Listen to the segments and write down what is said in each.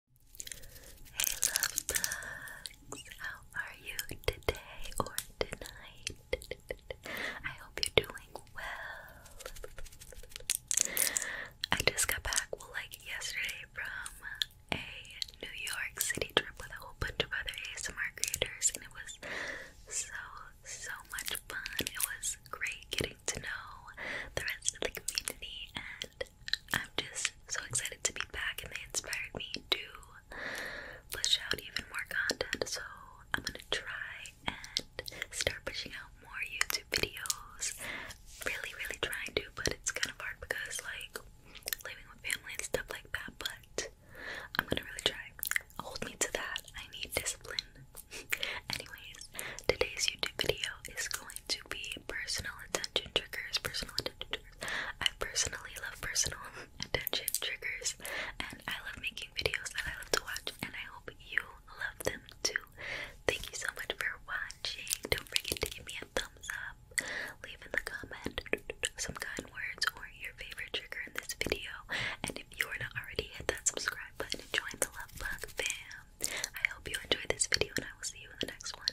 Hey love bugs, how are you today or tonight? I hope you're doing well. I just got back, well like yesterday from a New York City trip with a whole bunch of other ASMR creators and it was so, so much fun. It was great getting to know the rest of the community and I'm just so excited to be back, and they inspired me to push out even more content. So I'm gonna try and start pushing out more YouTube videos. Really, really trying to, but it's kind of hard because like living with family and stuff like that. But I'm gonna really try. Hold me to that. I need discipline. Anyways, today's YouTube video is going to be personal attention triggers. Personal attention triggers. I personally love personal attention triggers, and I love making videos that I love to watch, and I hope you love them too. Thank you so much for watching. Don't forget to give me a thumbs up, leave in the comment some kind words or your favorite trigger in this video, and if you are not already, hit that subscribe button and join the love bug fam. I hope you enjoyed this video, and I will see you in the next one.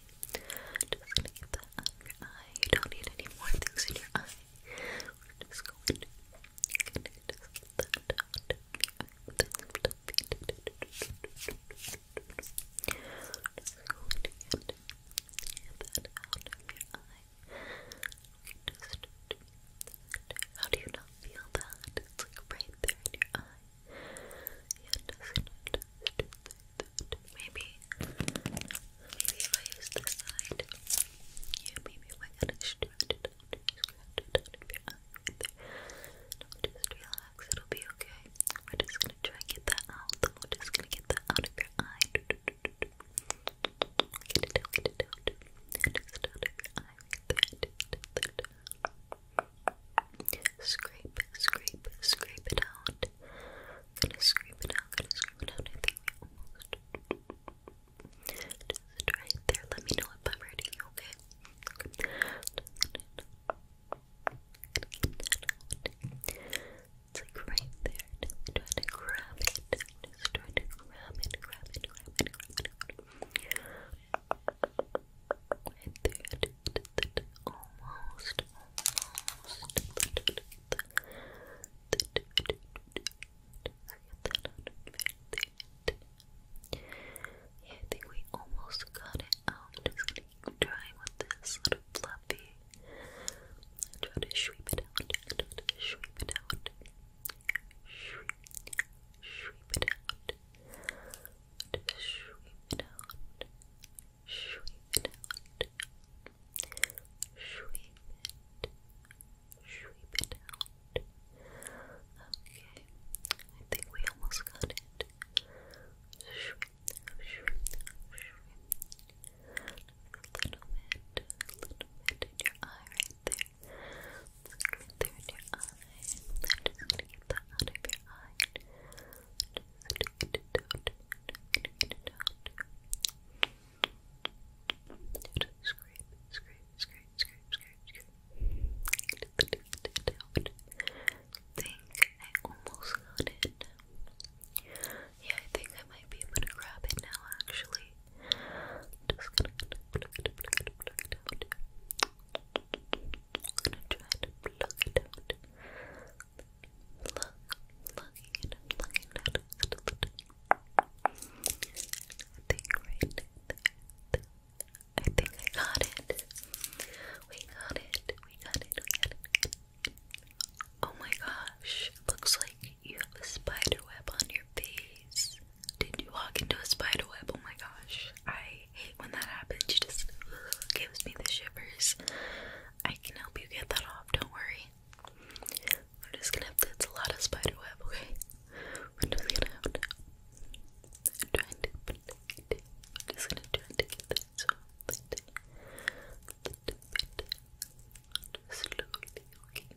just gonna get that out of your eye. You don't need any more things in your eye. We're just going to get that out of your eye. Just going to get, that out of your eye. how do you not feel that? It's like right there in your eye. Maybe, maybe if I use this side, maybe I just relax, it'll be okay. We're just gonna try and get that out. We're just gonna get that out of your eye. Get it out, get it out. Just out out of your eye. Scrape, scrape, scrape it out. Gonna scrape it out, gonna scrape it out. I think we almost just it right there. Let me know if I'm ready, okay? Okay. It's like right there. Just try to grab it. Just try to grab it, grab it, grab it, grab it. Grab it. Right there almost, almost. I think we almost got it out. just gonna keep trying with this little fluffy. Try to sweep it out. Try to sweep it out. Sweep, it out. Just sweep it out. Sweep it Sweep it. Sweep it out. Okay. I think we almost got it. Sweep, sweep, sweep. A little bit, a little bit in your eye right there. there in your eye. i just gonna get that out of your eye think I almost got it. Yeah, I think I might be able to grab it now actually. Just gonna try to pluck it out. Look, looking at looking I think I got it. We got it. We got it. We got it. Oh my gosh. Looks like you have a spider web on your face. Did you walk into a spider web? Oh my gosh. I I when that happens. She just gives me the shivers. I can help you get that off, don't worry. We're just gonna have a lot of spider web, okay? We're just gonna I'm trying to, I'm just gonna try to get that so slowly, okay?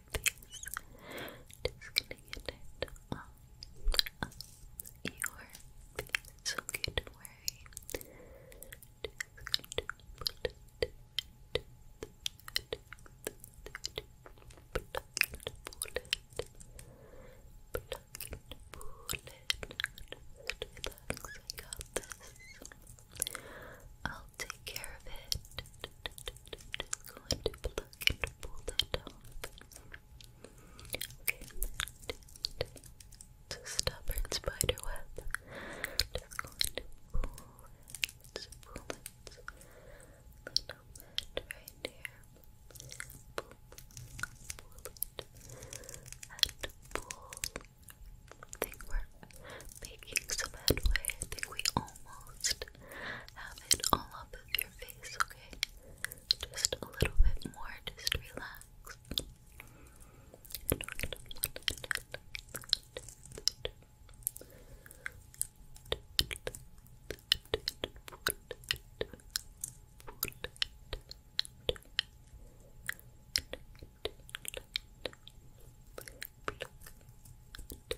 face. Just gonna get it your face. It's okay, I will take care of it pull that off. Okay, it's a stubborn spider web. Just going to pull it, pull it Pull, it, I think we're making some headway. I think we almost have it all up your face, okay? Just a little bit more, just relax.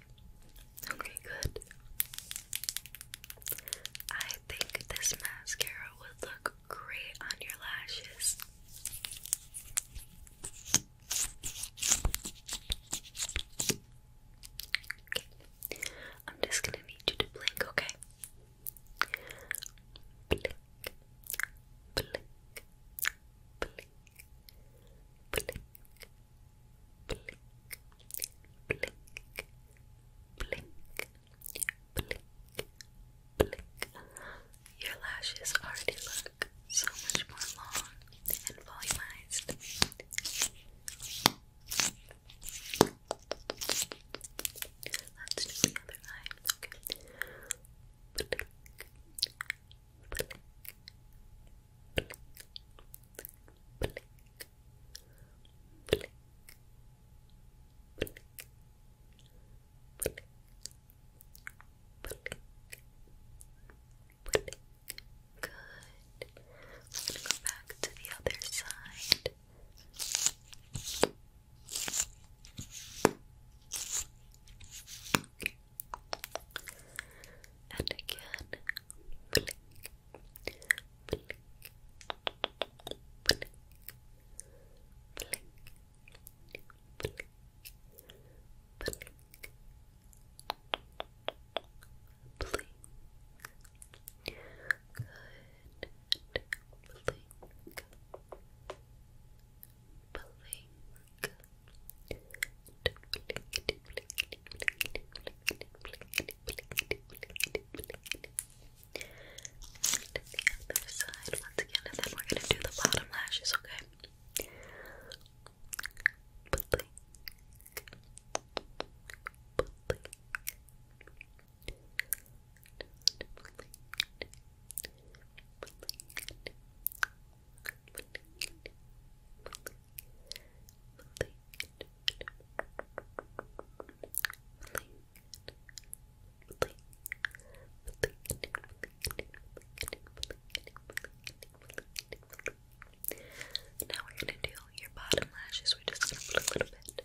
Okay, good. I think this mascara would look great on your lashes. I'm just gonna need you to blink, okay? Blink, blink, blink, blink, blink, blink, blink, blink, blink. Your lashes already look so much more long and volumized. Let's do the other eye blink, blink, Good. I'm gonna go back to the other side. And again, blink, blink, blink, blink, blink, blink. Blink. Good. blink. Blink the other side once again, and then we're gonna do the bottom lashes, okay? Now we're gonna do your bottom lashes. We're just gonna put a little bit,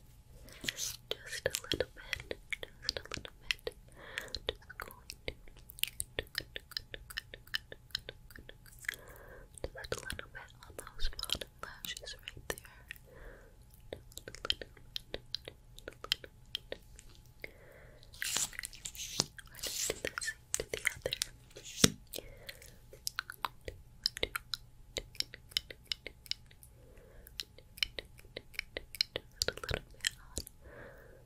just a little bit, just a little bit. Just a little bit on those bottom lashes right there. Just a little bit. Just a little bit. I just do the same to the other. Just a little bit on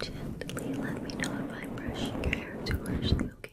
Gently let me know if i brush your hair too harshly, okay?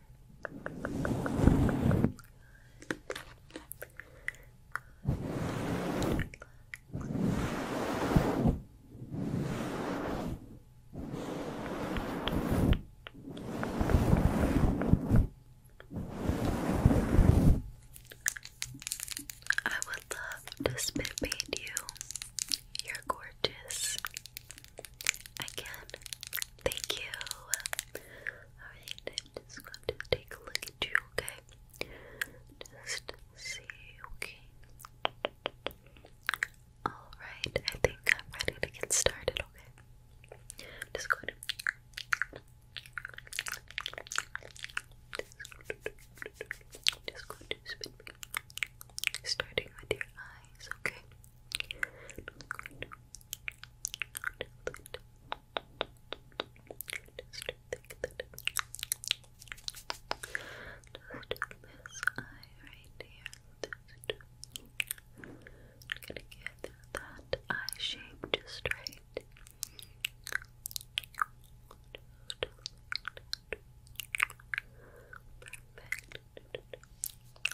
I would love to spit you. You're gorgeous. Again, thank you. Alright, just going to take a look at you, okay? Just see, okay? Alright, I think I'm ready to get started, okay? just going to. Starting with your eyes, okay? this eye right here. gonna get that eye shape just right. Perfect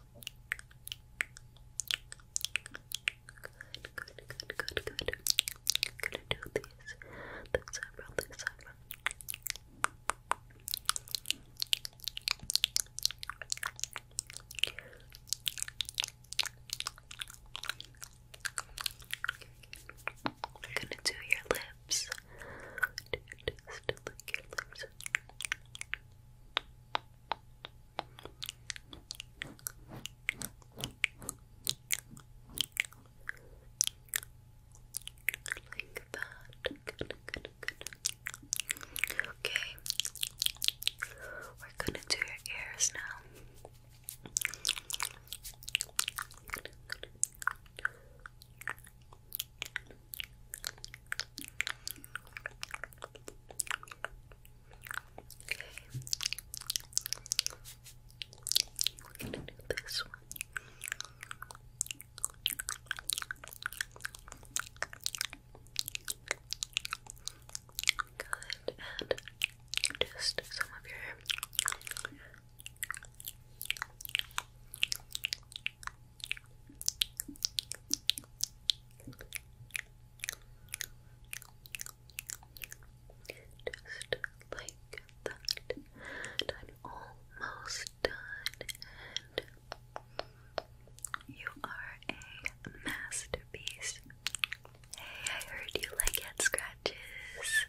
good, good, good, good. i gonna do these. This eyebrow, this gonna do your lips. Just your lips. Like that. Okay. We're gonna do your ears now. We're gonna do this one. Good, and just some of your. Just like that. I'm almost done, and you are a masterpiece. Hey, I heard you like head scratches.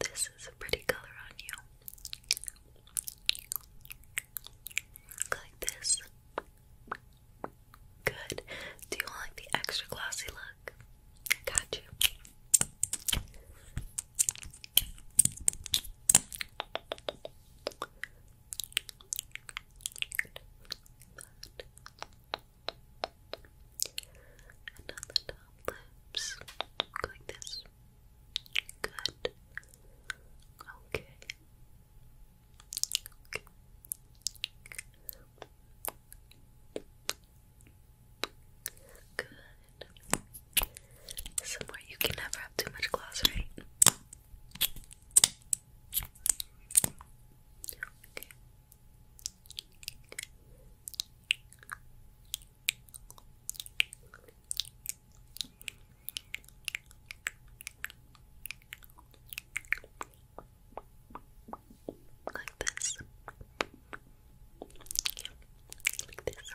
This is a pretty color on you. like this. Good. Do you like the extra glossy look? got you. And on the top lips, like this. Good. Okay. Okay. Good. Somewhere you can never have too much gloss, right? Like this. Like this.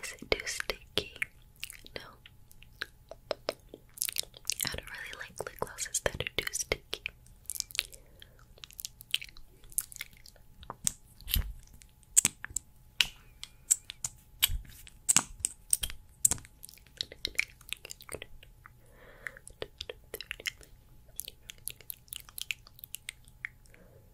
Is it too sticky? No. I don't really like lip glosses that are too sticky. Can you do that a little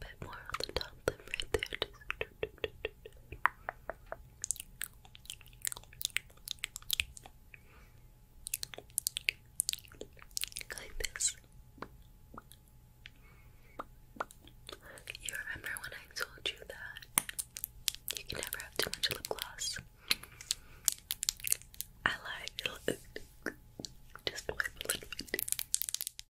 bit more on the top lip right there? Like this. You remember when I told you that you can never have too much lip gloss? I lied. Just wipe little bit.